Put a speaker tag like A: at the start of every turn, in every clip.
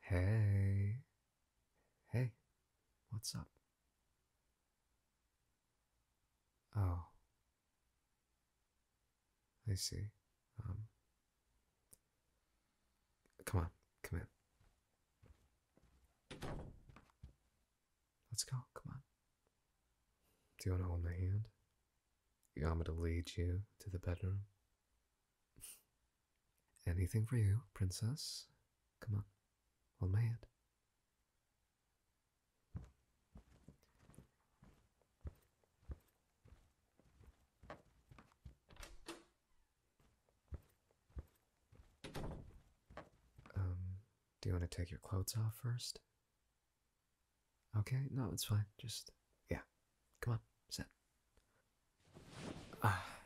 A: Hey. Hey, what's up? Oh. I see. Um. Come on, come in. Let's go, come on. Do you want to hold my hand? You want me to lead you to the bedroom? Anything for you, princess. Come on, hold my hand. Um, do you want to take your clothes off first? Okay, no, it's fine. Just, yeah. Come on, sit. Ah.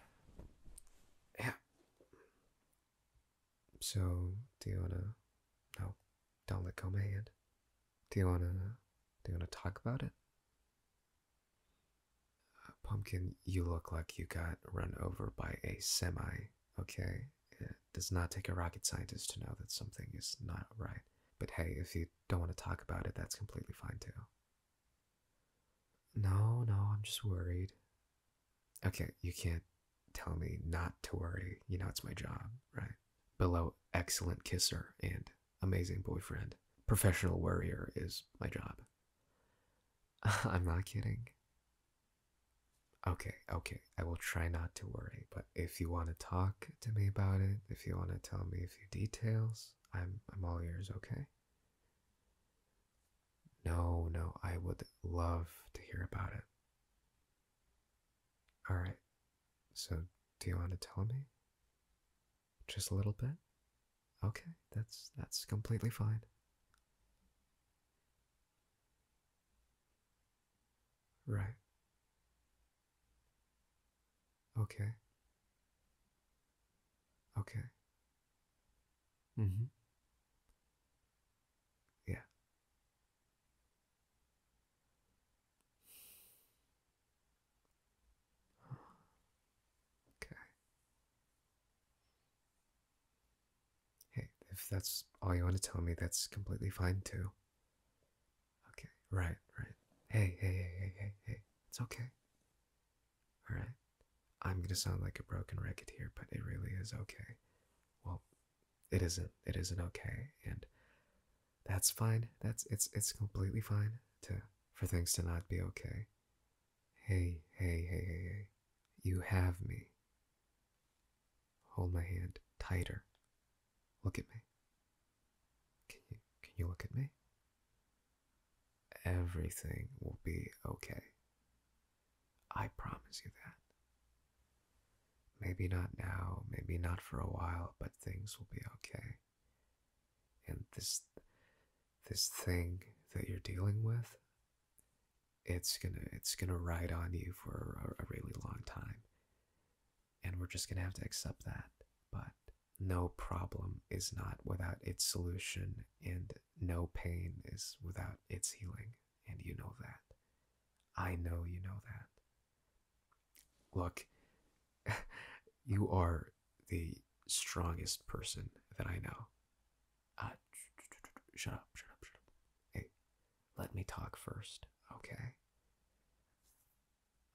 A: Yeah. So, do you wanna. No, don't let go my hand. Do you wanna. Do you wanna talk about it? Uh, pumpkin, you look like you got run over by a semi, okay? It does not take a rocket scientist to know that something is not right. But hey, if you don't want to talk about it, that's completely fine too. No, no, I'm just worried. Okay, you can't tell me not to worry. You know, it's my job, right? Below excellent kisser and amazing boyfriend, professional worrier is my job. I'm not kidding. Okay, okay, I will try not to worry, but if you want to talk to me about it, if you want to tell me a few details, I'm I'm all ears, okay? No, no, I would love to hear about it. All right. So, do you want to tell me? Just a little bit? Okay, that's that's completely fine. Right. Okay. Okay. Mm-hmm. Yeah. Okay. Hey, if that's all you want to tell me, that's completely fine too. Okay, right, right. Hey, hey, hey, hey, hey, hey. It's okay. Alright. I'm gonna sound like a broken record here, but it really is okay. Well, it isn't. It isn't okay, and that's fine. That's it's it's completely fine to for things to not be okay. Hey, hey, hey, hey, hey. You have me. Hold my hand tighter. Look at me. Can you, can you look at me? Everything will be okay. I promise you that. Maybe not now, maybe not for a while, but things will be okay. And this this thing that you're dealing with, it's gonna it's gonna ride on you for a, a really long time and we're just going to have to accept that. But no problem is not without its solution, and no pain is without its healing, and you know that. I know you know that. Look, you are the strongest person that I know. Uh, shut up, shut up, shut up. Hey, let me talk first, okay?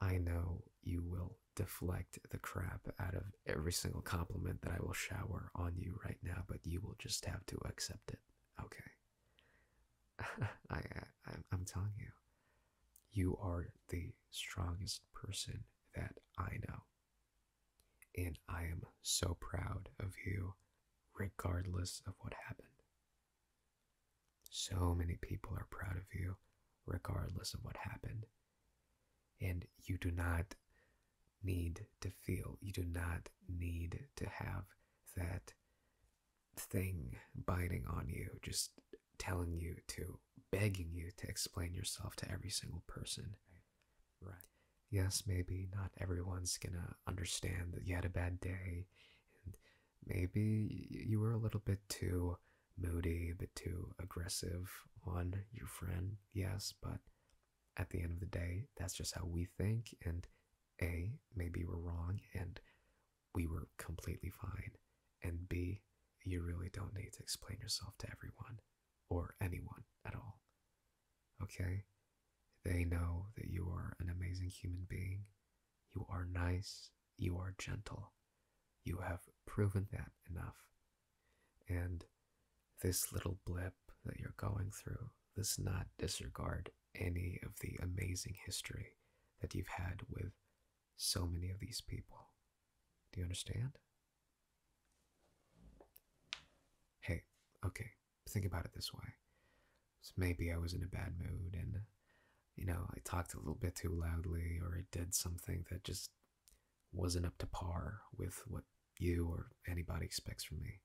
A: I know you will deflect the crap out of every single compliment that I will shower on you right now, but you will just have to accept it. Okay. I, I I'm telling you, you are the strongest person that I know. And I am so proud of you, regardless of what happened. So many people are proud of you, regardless of what happened. And you do not need to feel, you do not need to have that thing biting on you, just telling you to, begging you to explain yourself to every single person. Right. Yes, maybe not everyone's gonna understand that you had a bad day and maybe you were a little bit too moody, a bit too aggressive on your friend, yes, but at the end of the day, that's just how we think, and A, maybe we're wrong, and we were completely fine, and B, you really don't need to explain yourself to everyone, or anyone at all. Okay? They know that you are an amazing human being, you are nice. You are gentle. You have proven that enough. And this little blip that you're going through does not disregard any of the amazing history that you've had with so many of these people. Do you understand? Hey, okay, think about it this way. So maybe I was in a bad mood and you know, I talked a little bit too loudly or I did something that just wasn't up to par with what you or anybody expects from me,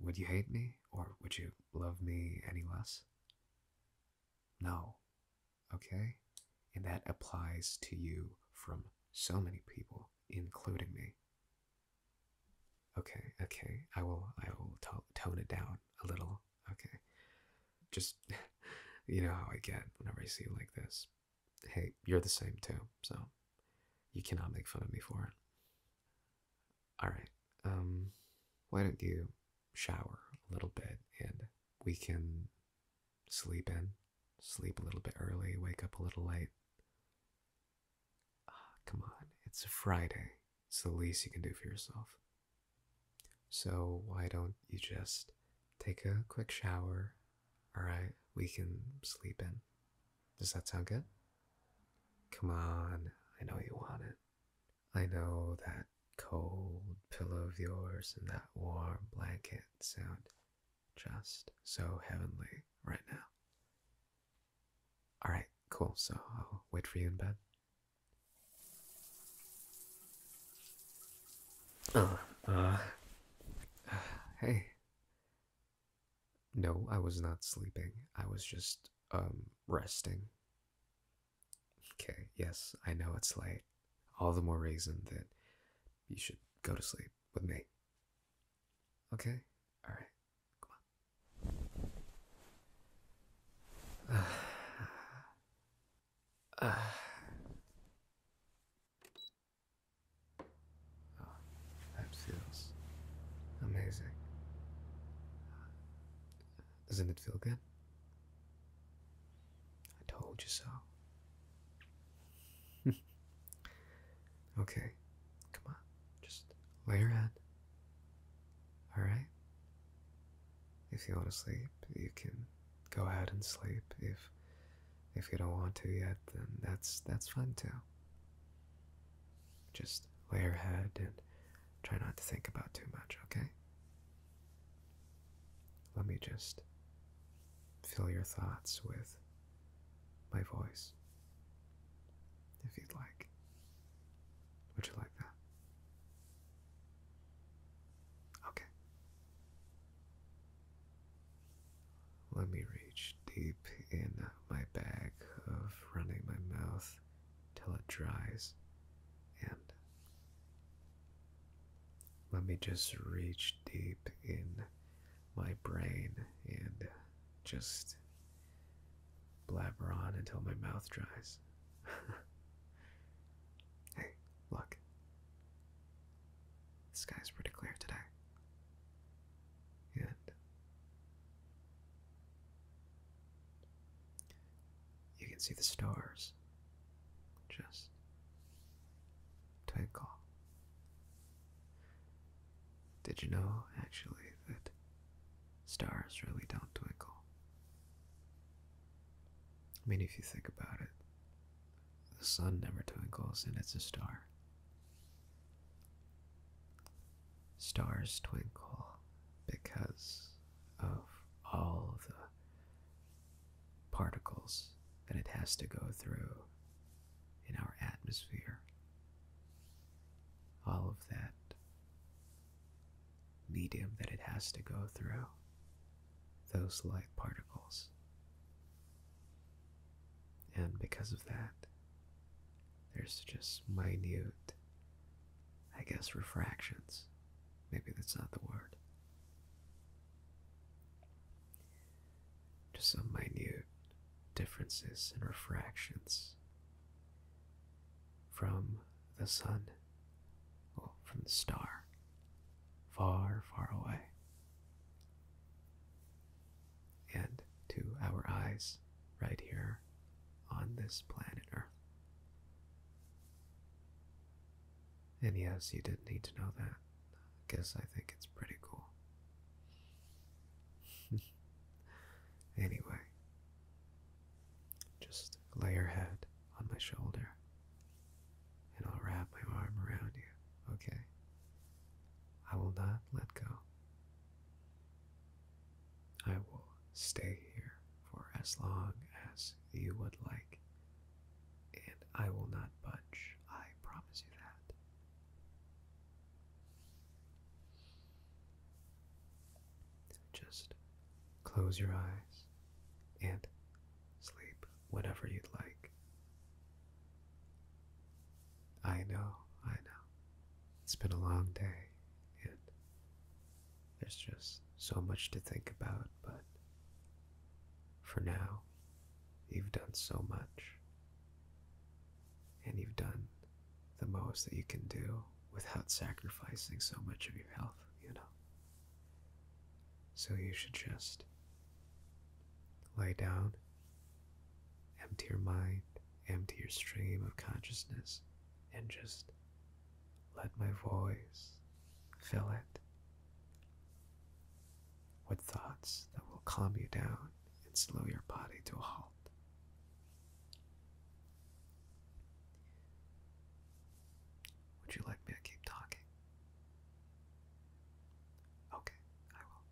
A: would you hate me or would you love me any less? No. Okay? And that applies to you from so many people, including me. Okay, okay. I will I will tone it down a little. Okay. Just you know how I get whenever I see you like this. Hey, you're the same too, so you cannot make fun of me for it. All right. Um why don't you shower a little bit and we can sleep in, sleep a little bit early, wake up a little late. Ah, come on, it's a Friday. It's the least you can do for yourself. So why don't you just take a quick shower? All right, we can sleep in. Does that sound good? Come on, I know you want it. I know that cold pillow of yours and that warm blanket sound just so heavenly right now. All right, cool. So I'll wait for you in bed. Oh, uh, hey. No, I was not sleeping. I was just, um, resting. Okay, yes, I know it's late. All the more reason that you should go to sleep with me. Okay? Alright. Come on. Uh, uh. Oh, that feels amazing. Doesn't it feel good? I told you so. okay, come on. Just lay your head Alright? If you want to sleep, you can go ahead and sleep. If if you don't want to yet, then that's that's fine too. Just lay your head and try not to think about too much, okay? Let me just fill your thoughts with my voice if you'd like. Would you like that? Okay. Let me reach deep in my bag of running my mouth till it dries and let me just reach deep in my brain and just blabber on until my mouth dries. hey, look. The sky's pretty clear today. And you can see the stars just twinkle. Did you know, actually, that stars really don't twinkle. I mean, if you think about it, the sun never twinkles and it's a star. Stars twinkle because of all the particles that it has to go through in our atmosphere all of that medium that it has to go through, those light particles. And because of that, there's just minute, I guess, refractions. Maybe that's not the word. Just some minute differences and refractions from the sun, or from the star, far, far away. And to our eyes, right here on this planet Earth. And yes, you did not need to know that. I guess I think it's pretty cool. anyway, just lay your head on my shoulder and I'll wrap my arm around you, okay? I will not let go. I will stay here for as long as you would like, and I will not budge. I promise you that. Just close your eyes and sleep whenever you'd like. I know, I know. It's been a long day, and there's just so much to think about, but for now, you've done so much. And you've done the most that you can do without sacrificing so much of your health, you know. So you should just lie down, empty your mind, empty your stream of consciousness, and just let my voice fill it with thoughts that will calm you down and slow your body to a halt. Would you like me to keep talking? Okay, I will.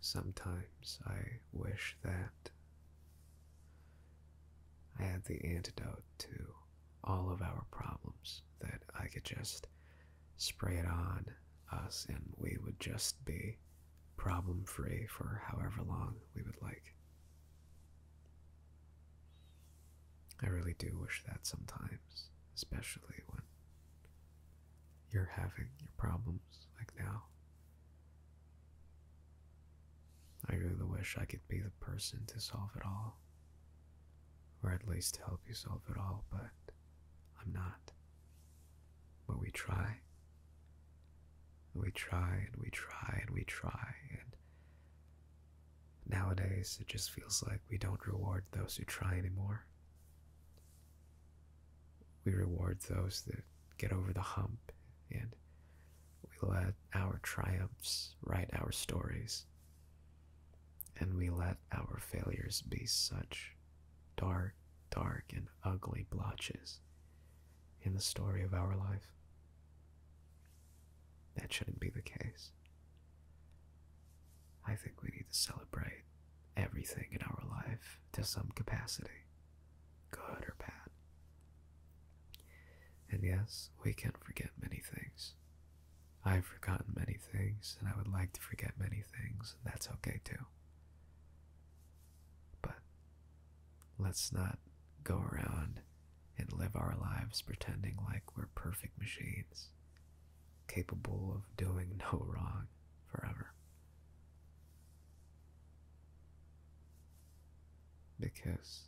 A: Sometimes I wish that I had the antidote to all of our problems, that I could just spray it on us and we would just be problem free for however long we would like. I really do wish that sometimes, especially when you're having your problems like now. I really wish I could be the person to solve it all, or at least help you solve it all, but I'm not. But we try. We try and we try and we try, and nowadays it just feels like we don't reward those who try anymore. We reward those that get over the hump and we let our triumphs write our stories. And we let our failures be such dark, dark, and ugly blotches in the story of our life. That shouldn't be the case. I think we need to celebrate everything in our life to some capacity good or bad. And yes, we can forget many things. I've forgotten many things, and I would like to forget many things, and that's okay too. But let's not go around and live our lives pretending like we're perfect machines, capable of doing no wrong forever. Because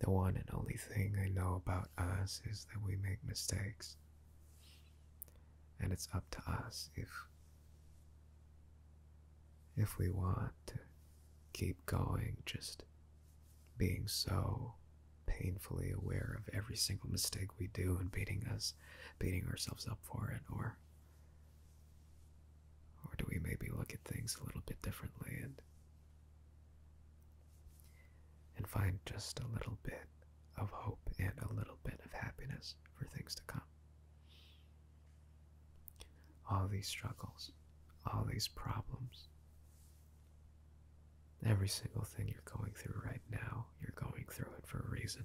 A: the one and only thing I know about us is that we make mistakes. And it's up to us if if we want to keep going just being so painfully aware of every single mistake we do and beating us beating ourselves up for it or or do we maybe look at things a little bit differently and and find just a little bit of hope and a little bit of happiness for things to come? All these struggles, all these problems, every single thing you're going through right now, you're going through it for a reason.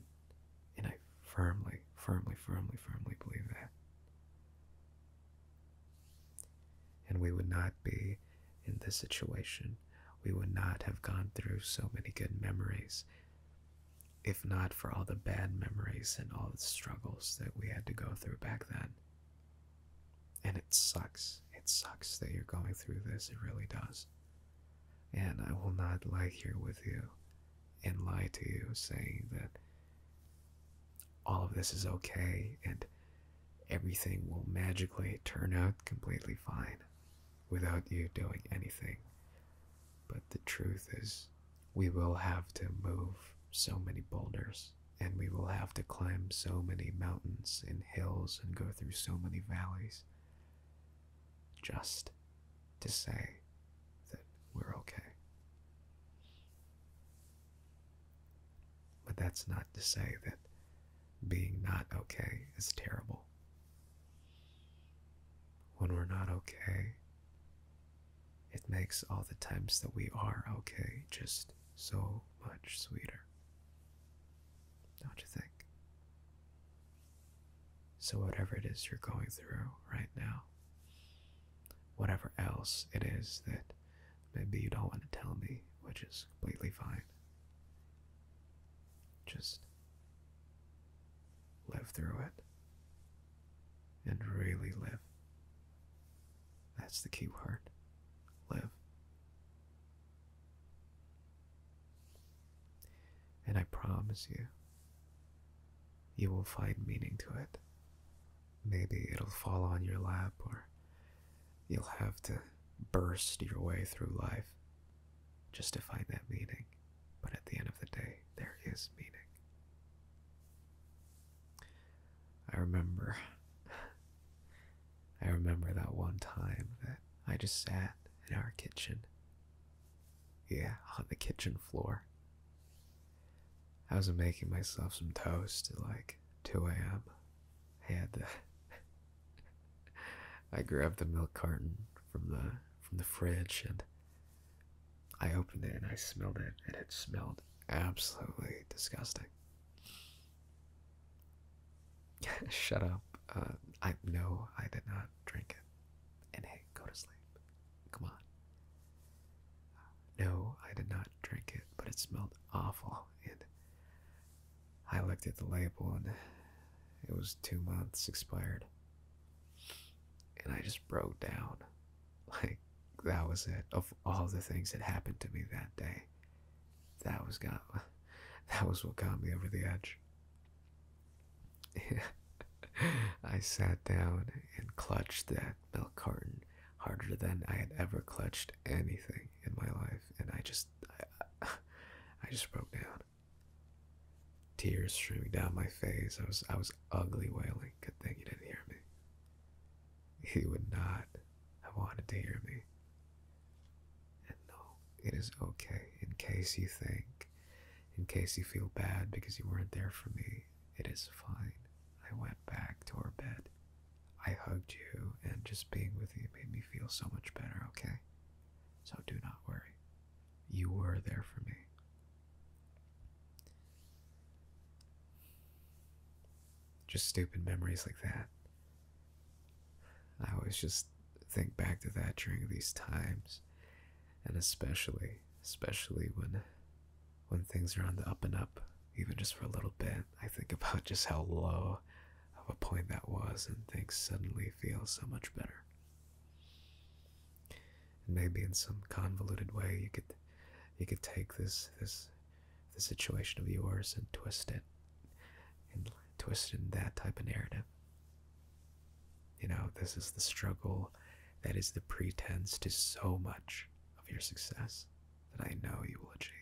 A: And I firmly, firmly, firmly, firmly believe that. And we would not be in this situation. We would not have gone through so many good memories if not for all the bad memories and all the struggles that we had to go through back then. And it sucks. It sucks that you're going through this. It really does. And I will not lie here with you and lie to you, saying that all of this is okay and everything will magically turn out completely fine without you doing anything. But the truth is, we will have to move so many boulders and we will have to climb so many mountains and hills and go through so many valleys just to say that we're okay. But that's not to say that being not okay is terrible. When we're not okay, it makes all the times that we are okay just so much sweeter. Don't you think? So, whatever it is you're going through right now, whatever else it is that maybe you don't want to tell me, which is completely fine, just live through it and really live. That's the key word live. And I promise you, you will find meaning to it. Maybe it'll fall on your lap, or you'll have to burst your way through life just to find that meaning. But at the end of the day, there is meaning. I remember. I remember that one time that I just sat in our kitchen yeah, on the kitchen floor. I was making myself some toast at like 2 a.m. I had the I grabbed the milk carton from the from the fridge and I opened it and I smelled it and it smelled absolutely disgusting. Shut up. Uh, I no, I did not drink it. And hey, go to sleep. Come on. No, I did not drink it, but it smelled awful. And I looked at the label and it was two months expired. And I just broke down. Like, that was it. Of all the things that happened to me that day, that was got, that was what got me over the edge. I sat down and clutched that milk carton harder than I had ever clutched anything in my life, and I just, I, I just broke down. Tears streaming down my face. I was, I was ugly wailing. Good thing he didn't hear me. He would not have wanted to hear me. And no, it is okay. In case you think, in case you feel bad because you weren't there for me, it is fine. I went back to our bed. I hugged you, and just being with you made me feel so much better, okay? So do not worry. You were there for me. Just stupid memories like that. I always just think back to that during these times, and especially, especially when, when things are on the up and up, even just for a little bit. I think about just how low of a point that was, and things suddenly feel so much better. And maybe in some convoluted way, you could, you could take this this, this situation of yours and twist it, and twist it in that type of narrative. You know, this is the struggle that is the pretense to so much of your success that I know you will achieve.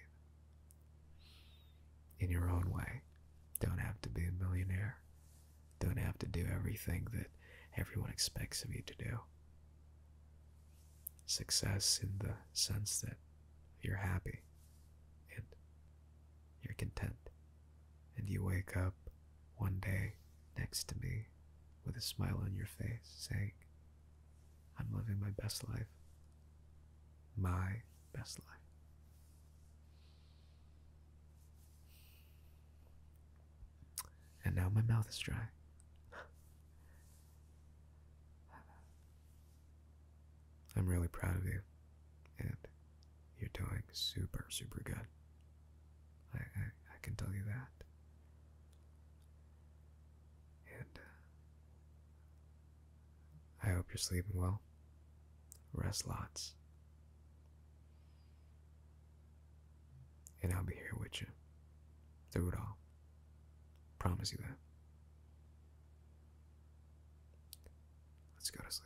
A: In your own way, don't have to be a millionaire, don't have to do everything that everyone expects of you to do. Success in the sense that you're happy and you're content and you wake up one day next to me with a smile on your face saying, I'm living my best life. My best life. And now my mouth is dry. I'm really proud of you. And you're doing super, super good. I, I, can tell you that. And uh, I hope you're sleeping well. Rest lots. And I'll be here with you through it all. Promise you that. Let's go to sleep.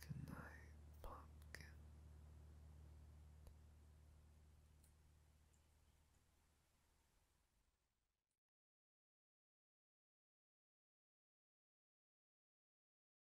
A: Good night, pumpkin.